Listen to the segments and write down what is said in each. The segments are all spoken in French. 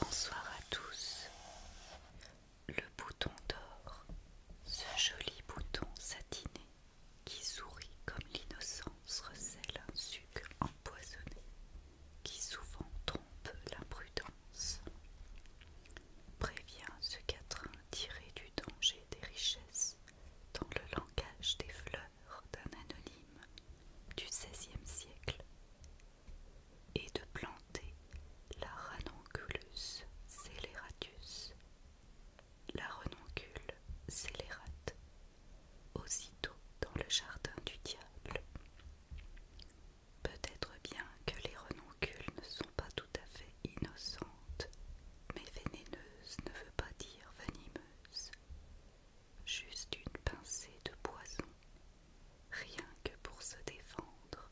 Bonsoir à tous. Le bouton d'or, ce joli bouton satiné qui sourit comme l'innocence recèle un suc empoisonné qui souvent trompe l'imprudence, prévient ce quatrain tiré du danger des richesses dans le langage des fleurs d'un anonyme du XVIe siècle et de planter la ranonculus scélératus la renoncule scélérate, aussitôt dans le jardin du diable. Peut-être bien que les renoncules ne sont pas tout à fait innocente mais vénéneuse ne veut pas dire venimeuse. Juste une pincée de poison, rien que pour se défendre.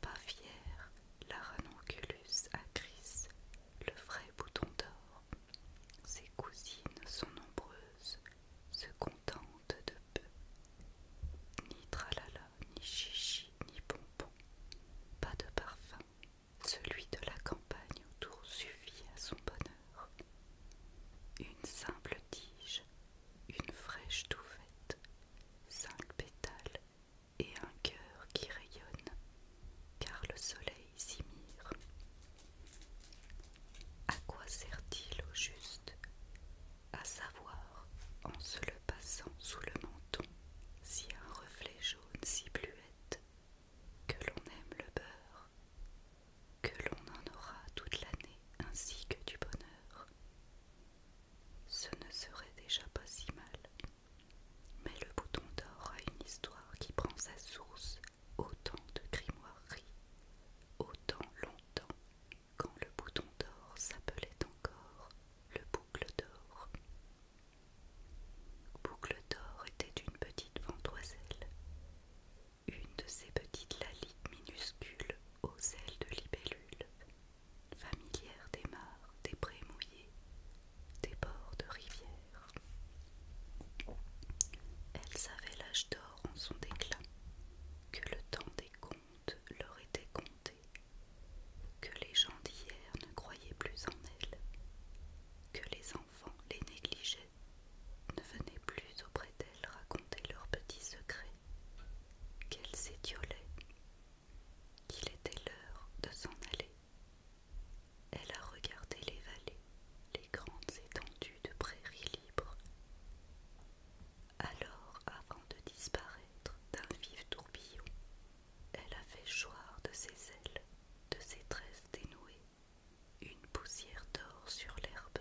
Pas fière la ranonculus acris, le vrai bouton d'or. Ses cousines sont nombreuses, se contentent de peu. Nitralala ni chichi, ni bonbon, pas de parfum. Celui de la campagne autour suffit à son bonheur. Une simple tige, une fraîche touffette, cinq pétales et un cœur qui rayonne, car le soleil s'y mire. À quoi sert-il au juste À savoir, en se le passant sous le si un reflet jaune si bluette que l'on aime le beurre, que l'on en aura toute l'année ainsi que du bonheur. Ce ne serait déjà pas si mal. Mais le bouton d'or a une histoire qui prend sa source autant de grimoiries, autant longtemps quand le bouton d'or s'appelait encore le boucle d'or. Boucle d'or était une petite ventoiselle, une de ces petites lalites minuscules aux ailes de libellule, familière des mares, des prés mouillés, des bords de rivière. Elle savait l'âge d'or en son déclin, que le temps des leur était compté que les gens d'hier ne croyaient plus en elle, que les enfants les négligeaient, ne venaient plus auprès d'elle raconter leurs petits secrets, qu'elle s'étiolait, qu'il était l'heure de s'en aller. Elle a regardé les vallées, les grandes étendues de prairies libres. Alors, avant de disparaître d'un vif tourbillon, elle a fait choir de ses ailes, de ses tresses dénouées, une poussière d'or sur l'herbe.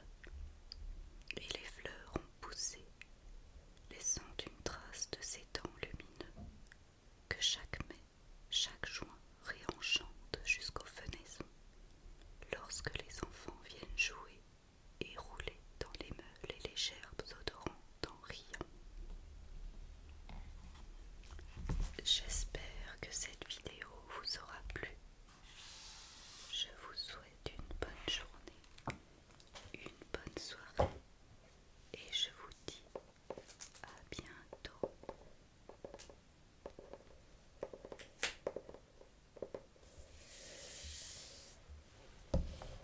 Et les fleurs ont poussé, laissant une trace de ces temps lumineux que chaque mai, chaque juin réenchante jusqu'aux fenaisons, lorsque les enfants viennent jouer et rouler dans les meules et les gerbes odorantes. J'espère que cette vidéo vous aura plu. Je vous souhaite une bonne journée, une bonne soirée et je vous dis à bientôt.